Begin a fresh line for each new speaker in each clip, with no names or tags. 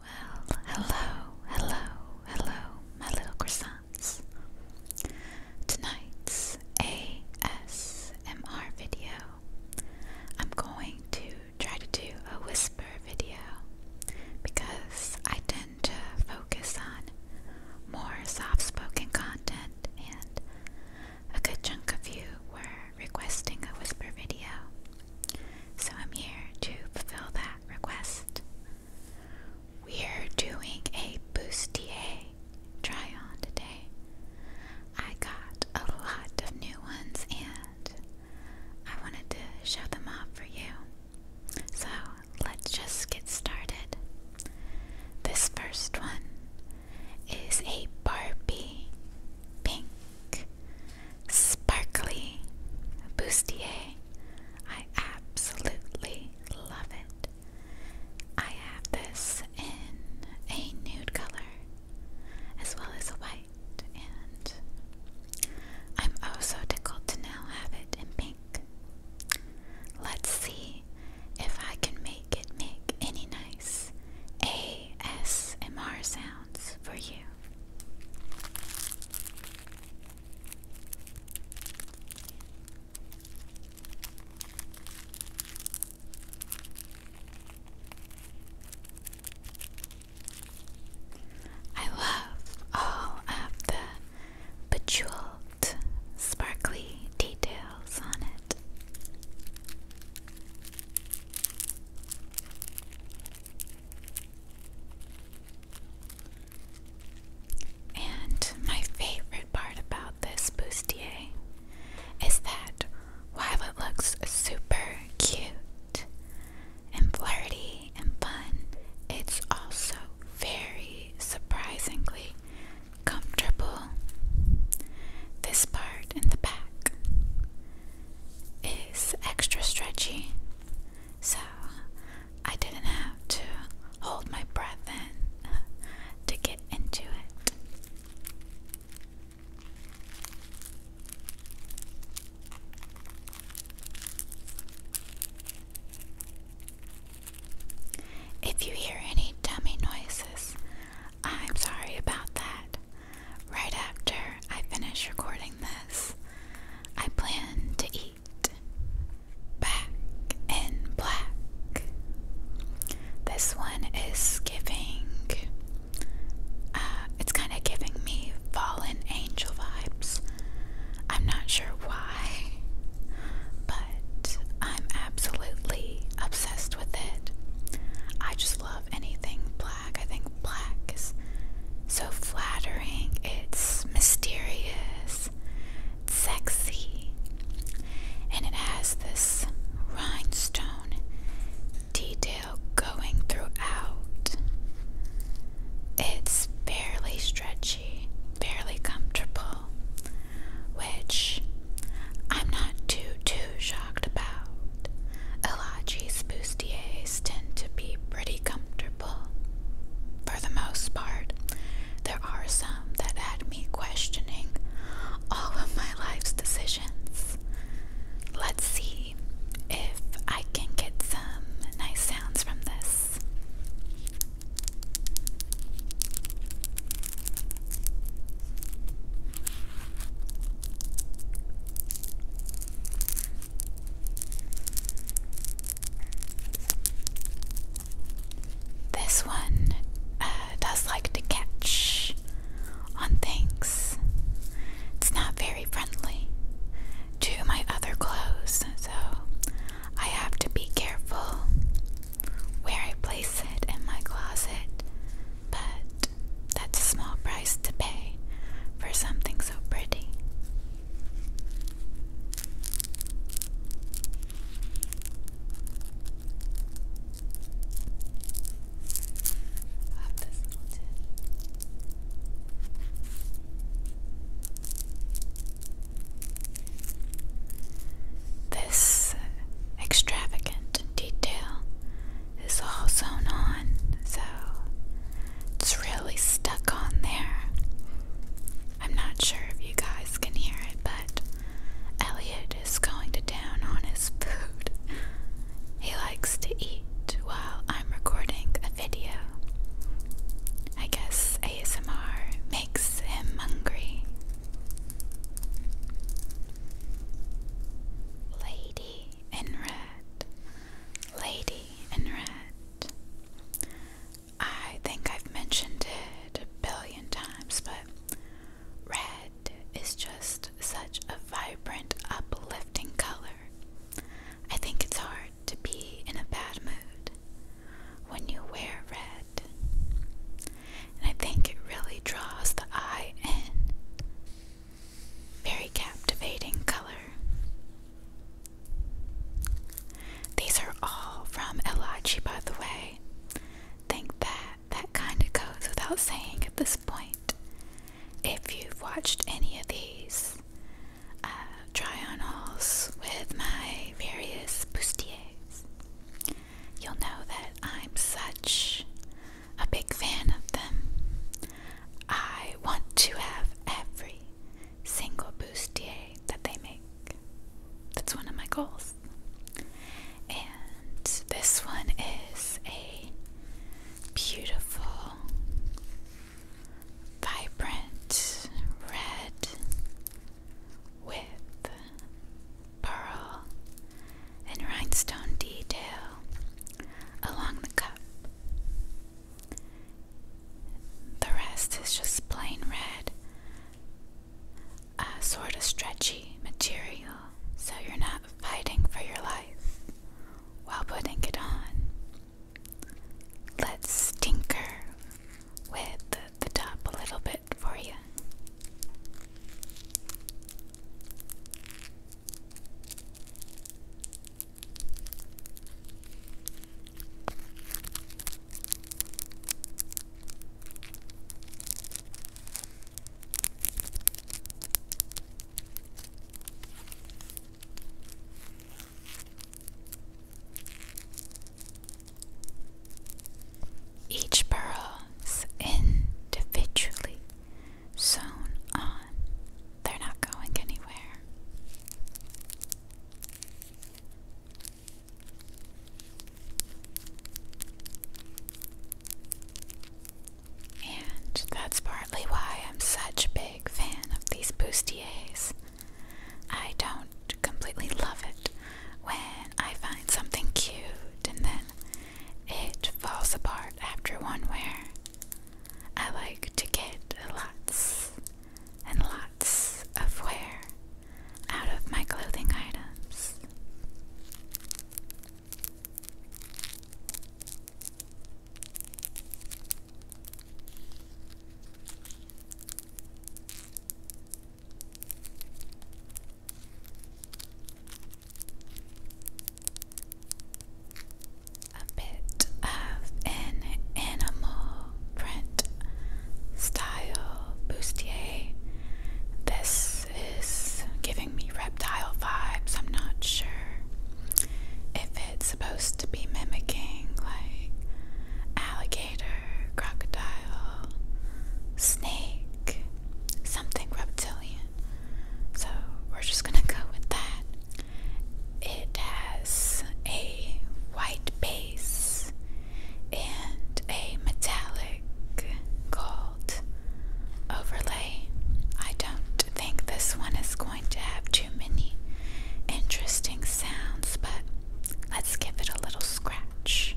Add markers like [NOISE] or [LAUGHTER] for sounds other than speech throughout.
Well, hello, hello, hello, my little croissants. Tonight's ASMR video, I'm going to try to do a whisper video because I tend to focus on more soft spoken content, and a good chunk of you were requesting a whisper video. So I'm here to fulfill that request. We're doing a bustier try on today. I got a lot of new ones and I wanted to show them off for you. So let's just get started. This first one is a Barbie pink Sparkly bustier. I absolutely love it. I have this in a nude color as well as a white, and I'm also oh tickled to now have it in pink. Let's see if I can make it make any nice ASMR sounds for you. I love all of the bejeweled, sparkly details on it. And my favorite part about this bustier is that while it looks super cute and flirty and fun, it's also very surprisingly comfortable. This part in the back is extra stretchy, so I didn't have to hold my breath in to get into it. If you hear any dummy noises, I'm sorry about that. Right after I finish recording this, I plan to eat Black and Black. This one is giving, uh, it's kind of giving me fallen angel vibes. I'm not sure why, but I'm absolutely obsessed with it. I just love anything black. I think black is so flattering, it's mysterious, sexy, and it has this rhinestone detail going throughout. It's fairly stretchy, fairly comfortable, which I'm not too, too shocked about. Elagie's bustiers tend to be pretty comfortable. For the most part, there are some that had me questioning all of my life's decisions. Let's see if I can get some nice sounds from this. This one uh, does like to catch on things. It's not very friendly to my other clothes, so I have to be careful where I place it in my closet. But that's a small price to pay for something so pretty. This extravagant detail it's all sewn on, so it's really stuck on there. I'm not sure if you guys can hear it, but Elliot is going to town on his food. He likes to eat while I'm recording a video. I guess ASMR makes him hungry. Lady Lady in Red, I think I've mentioned it a billion times, but red is just such a vibrant, uplifting color. I think it's hard to be in a bad mood when you wear red. And I think it really draws the eye in. Very captivating color. These are all from Elachi, by the way. Think that that kind of goes without saying at this point. If you've watched any of these uh, try on with my various bustiers, you'll know that I'm such a big fan of them. I want to have every single bustier that they make. That's one of my goals. And this one is a beautiful, vibrant red with pearl and rhinestone detail along the cup. The rest is just plain red, a sort of stretchy material, so you're not fighting for your life while putting it on. Let's tinker with the top a little bit for you. Each pearl individually so on. They're not going anywhere. And that's partly why I'm such a big fan of these bustiers. I don't completely love it when I find something cute and then it falls apart after one wear. I like to get lots and lots of wear out of my clothing items. A bit of an animal print style bustier. This is giving me reptile vibes. I'm not sure if it's supposed to be mimicking like alligator, crocodile, snake, something reptilian. So we're just gonna go with that. It has a white base and a metallic gold overlay. I don't think this one is going to have too many interesting sounds, but let's give it a little scratch.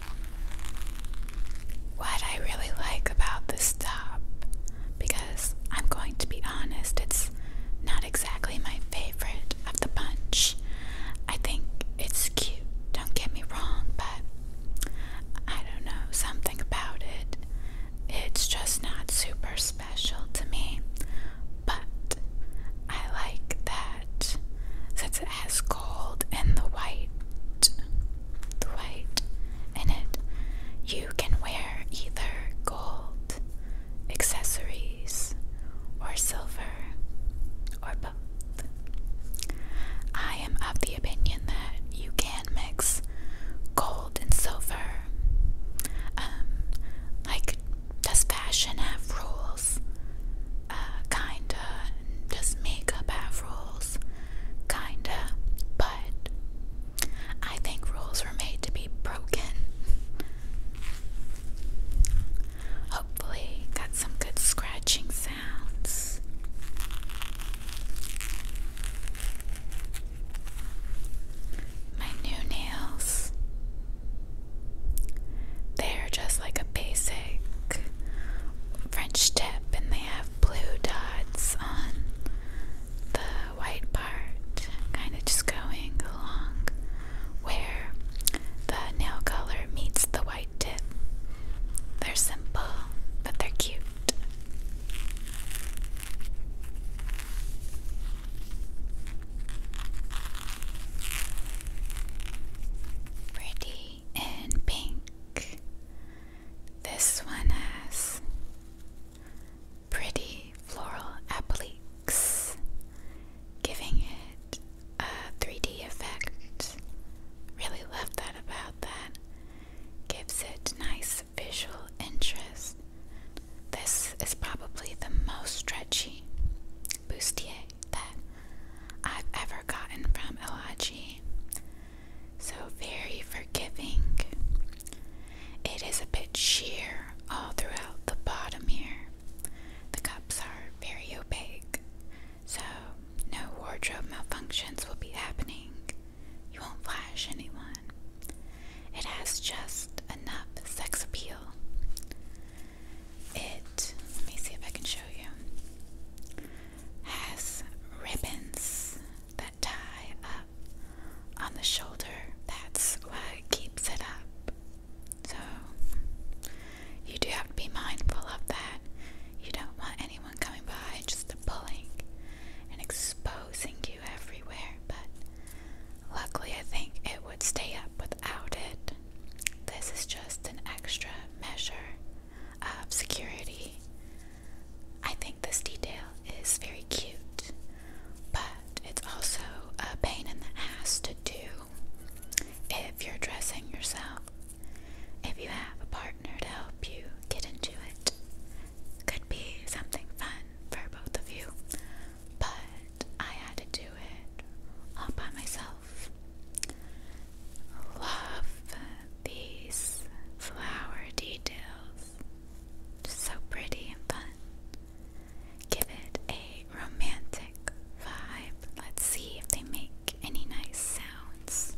What I really like about this stop, because I'm going to be honest, it's not exactly my favorite of the bunch. I think it's cute, don't get me wrong, but I don't know, something about it. It's just not super special to me, but I like that since it has gold and the white the white in it, you can wear either gold accessories or silver or both. I am of the opinion that you can mix gold and silver. Um, like, does fashion have rules? Uh, kinda. Just makeup have rules, kinda. But I think rules were made to be broken. Hopefully, got some good scratching sounds. My new nails. They're just like a basic French tip, and they have blue dots on the white part, kind of just going along where the nail color meets the white tip. They're simple, but they're cute. Pretty navy pink. This one has pretty floral appliques, giving it a 3D effect. Really love that about that. Gives it nice visual interest. This is probably the most stretchy bustier that I've ever gotten from OAG. So very forgiving. It is a bit sheer all throughout the bottom here. The cups are very opaque, so no wardrobe malfunctions will be happening. You won't flash anyone. It has just enough sex appeal. It, let me see if I can show you, has ribbons that tie up on the shoulder. That's what keeps it up. So, you do have to be mindful of that. You don't want anyone coming by just pulling and exposing you everywhere, but luckily I think it would stay up without it. This is just an extra measure of security. I think this detail is very cute, but it's also a pain in the ass to do if you're dressing yourself. If you have a partner to help you get into it, could be something fun for both of you, but I had to do it all by myself love, these flower details. Just so pretty and fun. Give it a romantic vibe. Let's see if they make any nice sounds.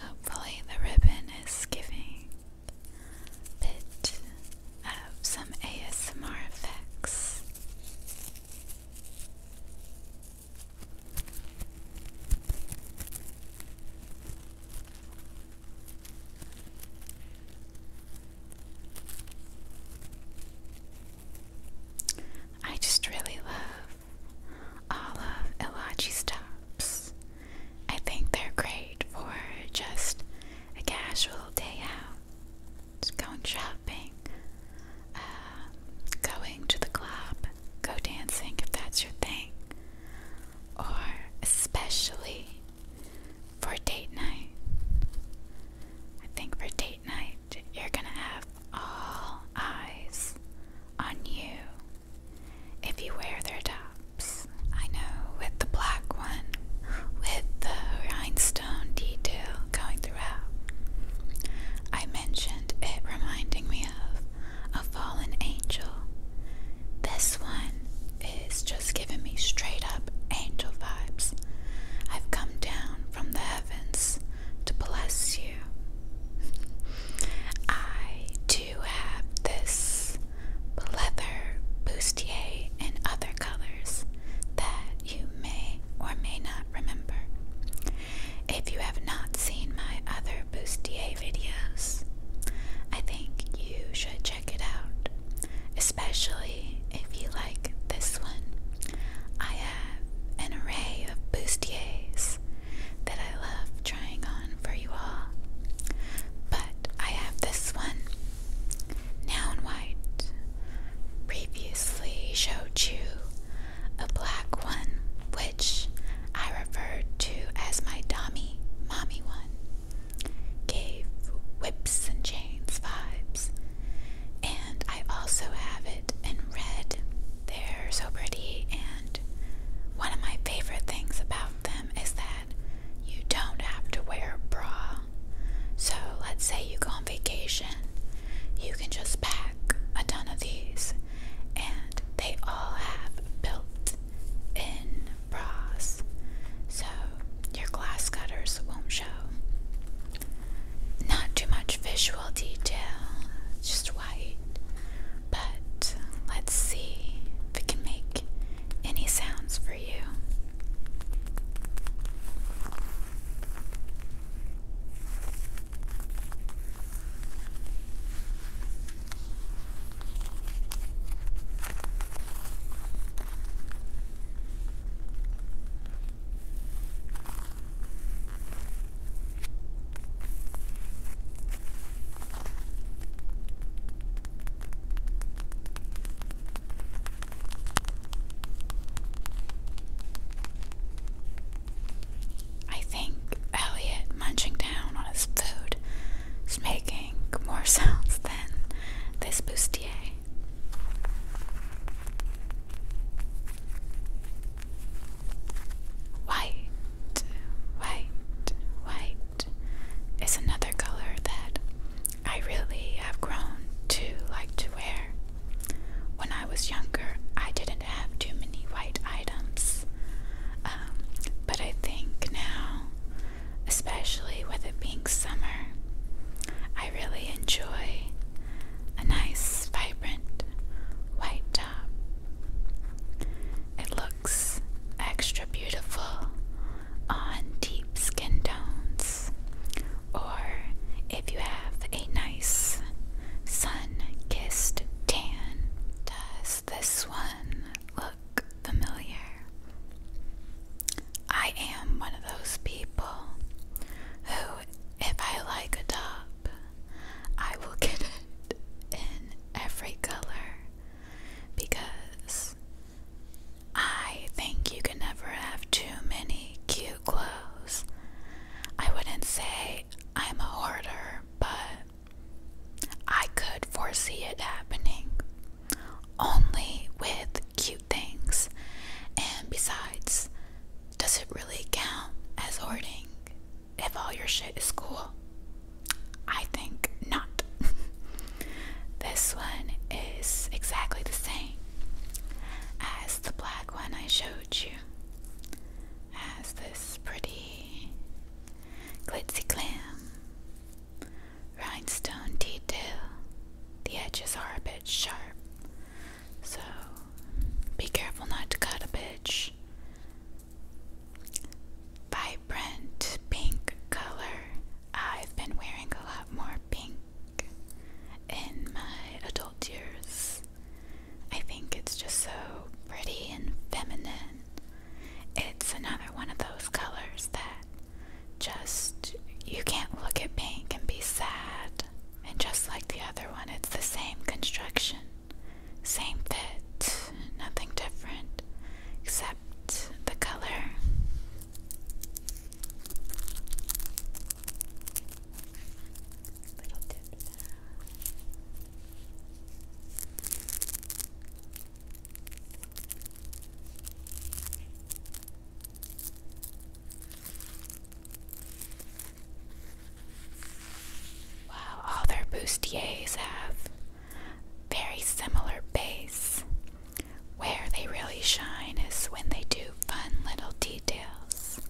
Hopefully, the ribbon is giving bit of some ASMR effects. I just really love all of Elachi stops. I think they're great for just a casual day out, just going shopping, um, going to the club, go dancing if that's your thing, or especially for date night. I think for date night, you're gonna have all eyes on you if you wear their tops. I know with the black one, with the rhinestone detail going throughout, I mentioned it reminding me of a fallen angel. This one is just giving me straight up angel vibes. I've come down from the heavens to bless you. I do have this leather bustier in other colors that you may or may not remember. If you have not seen my other bustier videos, I think you should check it out especially if you like this one. I have an array of bustiers that I love trying on for you all, but I have this one, now in White. Previously showed you a black one, which I referred to as my Dommy Mommy one gave whips and chains vibes. And I also have it in red. They're so pretty, and one of my favorite things about them is that you don't have to wear a bra. So, let's say you go on vacation, you can just pack a ton of these, and they all have built in brass, so your glass cutters won't show. Not too much visual detail, just white. But let's see if it can make any sounds for you. I think Elliot munching down on his food is making more sounds than this bustier. White, white, white is another color that I really have grown to like to wear. When I was younger, I didn't have too many white items, um, but I think now especially with it being summer. I really enjoy a nice, vibrant white top. It looks extra beautiful on deep skin tones, or if you have a nice sun kissed tan. Does this one look familiar. I am one of those people who, if I like a dog, I will [LAUGHS] get it in every color because I think you can never have too many cute clothes. I wouldn't say I'm a hoarder, but I could foresee it happening only with cute things. And besides, does it really count as hoarding if all your shit is cool? I think not. [LAUGHS] this one is exactly the same as the black one I showed you. Has this pretty glitzy clam Rhinestone detail. The edges are a bit sharp, so be careful not to cut a bitch. Vibrant pink color. I've been wearing a lot more pink in my adult years. I think it's just so pretty and feminine. It's another one of those colors that just you can't look at pink and be sad. And just like the other one, it's the same construction, same fit, nothing different except the color. Little dip. Wow, all their bustiers have very similar base. Where they really shine is when they do fun little details.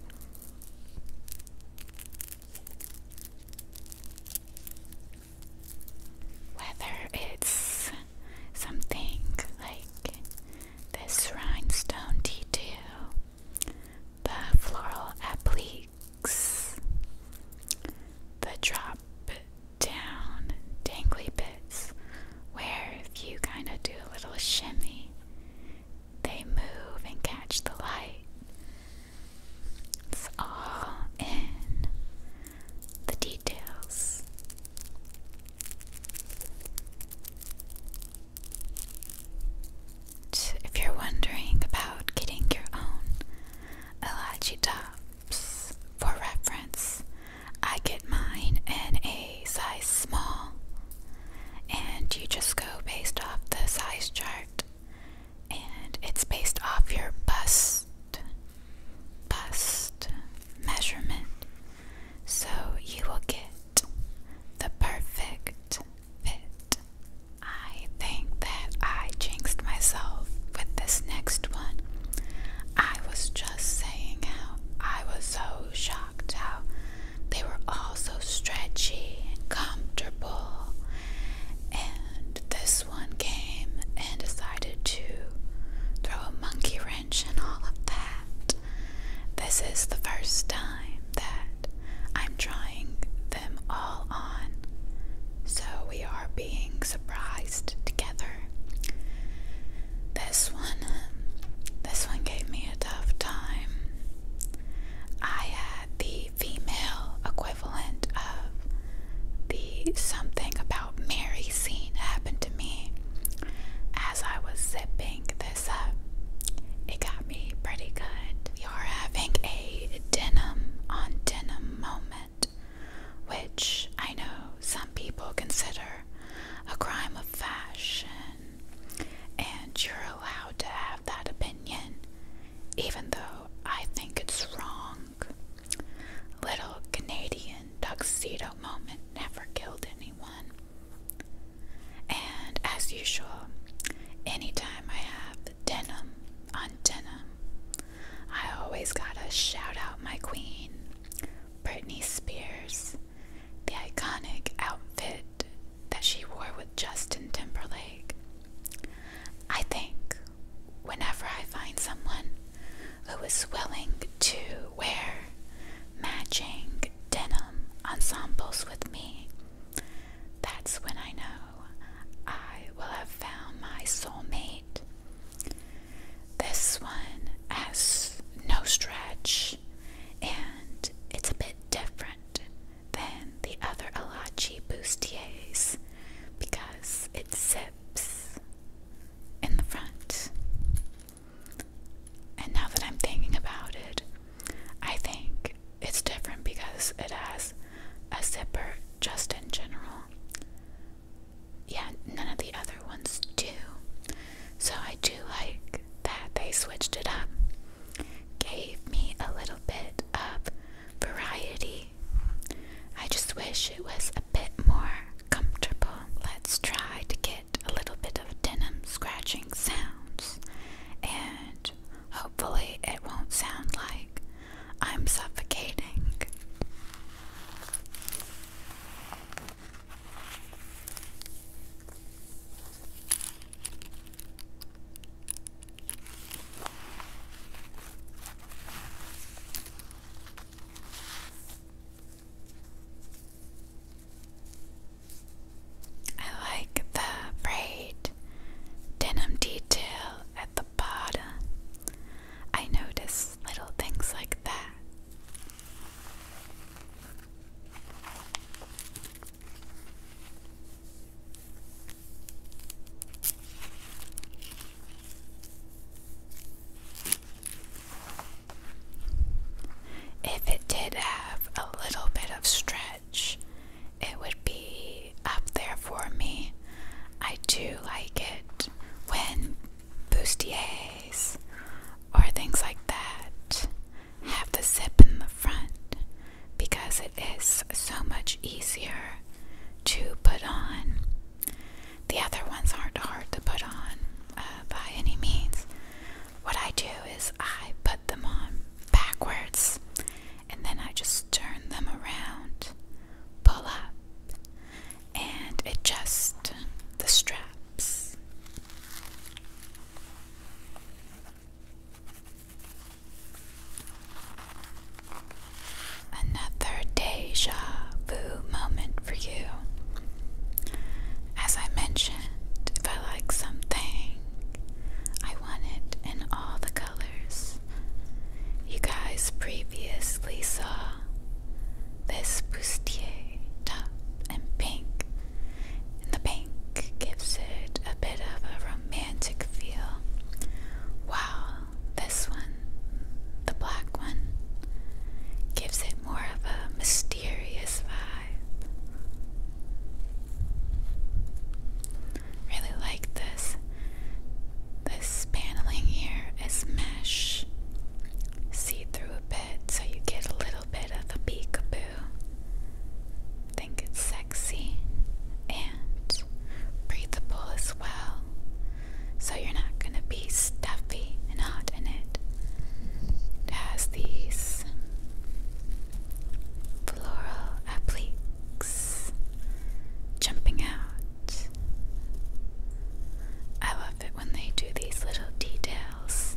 Whether it's something like this rhinestone detail, the floral appliques, the drop down dangly bits where if you kind of do a little shimmy, they move and catch the light. It's all in the details. If you're wondering about getting your own Elachi tops for reference, I get mine in a size small, and you just go based off the size chart and it's based off your bust bust measurement so you will get the perfect fit. I think that I jinxed myself with this next one. I was just saying how I was so shocked how they were all so stretchy and comfortable, and this one came and decided to throw a monkey wrench and all of that. This is the first time that I'm trying them all on. So we are being surprised together. This one, um, this one gave me a tough time. I had the female equivalent of the something about Mary scene happened to me as I was zipping this up. It got me pretty good. you are having a denim on denim moment, which I know some people consider a crime of fashion, and you're allowed to have that opinion even though I think it's wrong. Little Canadian tuxedo moment never killed anyone. And as usual, anytime I have denim on denim, I always gotta shout out my queen, Britney Spears, the iconic outfit that she wore with Justin Timberlake. I think whenever I find someone who is willing to wear matching denim ensembles with me, that's when I know I will have found my soulmate. This one has no stretch and it's a bit different than the other Alachi bustiers because it zips in the front. And now that I'm thinking about it, I think it's different because it has a zipper just in general. Yeah, none of the other ones do. So I do like that they switched it up gave me a little bit of variety. I just wish it was a bit more comfortable. Let's try to get a little bit of denim scratching sounds, and hopefully, it won't sound like I'm suffocating. I like the braid denim detail at the bottom. I notice little things like that. If it did have a little bit of stretch, it would be up there for me. I do like it when bustiers or things like that have the zip in the front because it is so much easier to put on. The other ones aren't hard to put on uh, by any means. What I do is I put them on backwards and then I just turn them around, pull up, and adjust the straps. Another deja vu moment for you. As I mentioned, if I like something, I want it in all the colors. You guys previously saw this bustier top in pink, and the pink gives it a bit of a romantic feel. Wow, this one, the black one, gives it more of a mysterious vibe. Really like this. This paneling here is mesh. See through a bit, so you get a little bit of a peekaboo think it's sexy and breathable as well. So you're not going to be stuffy and hot in it. It has these floral appliques jumping out. I love it when they do these little details.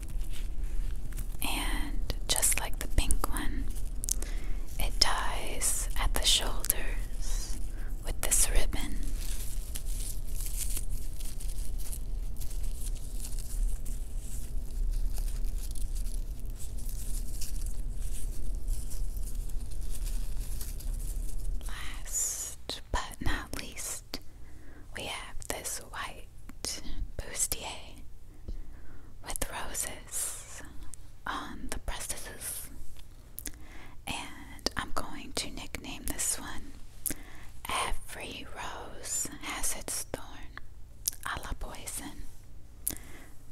And just like the pink one, it ties at the shoulders with this ribbon. Last but not least, we have this white bustier with roses on the breastises. And I'm going to nickname this one Every Rose Has Its Thorn a la Poison.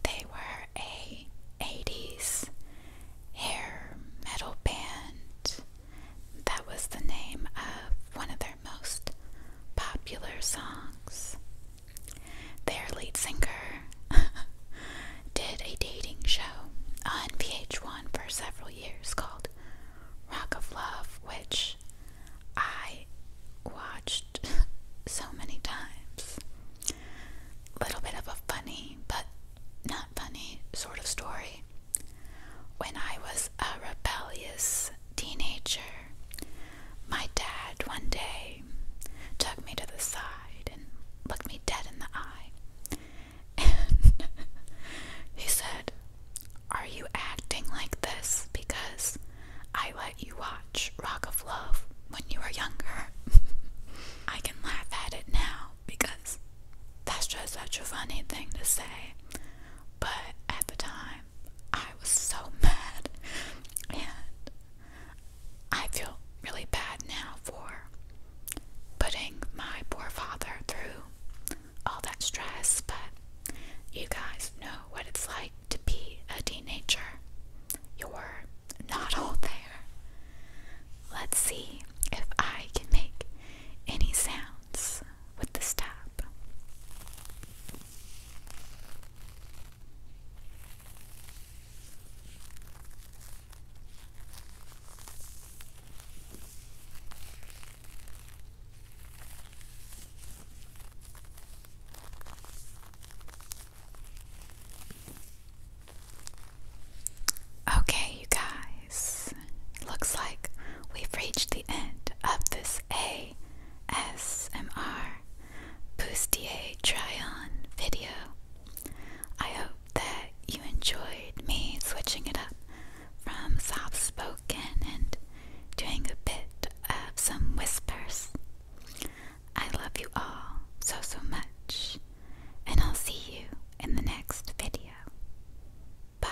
They were a 80s hair metal band. That was the name of one of their most popular songs. Their lead singer [LAUGHS] did a dating show on VH1 for several years called Rock of Love, which I watched [LAUGHS] so many times. Little bit of a funny, but not funny sort of story. When I was a rebellious teenager, my dad one day took me to the side and looked me dead in the eye. And [LAUGHS] he said, Are you acting like this because I let you watch Rock of Love when you were younger? [LAUGHS] I can laugh at it now because that's just such a funny thing to say. But at the time, I was so [LAUGHS] mad, and I feel really bad now for putting my poor father through all that stress. But you guys know what it's like to be a teenager. You're not [LAUGHS] all there. Let's see if I can make any sounds with this stuff. Okay, you guys, looks like we've reached the end of this A S M R Bustier try on video. I hope that you enjoyed me switching it up from soft spoken and doing a bit of some whispers. I love you all so so much, and I'll see you in the next video. Bye.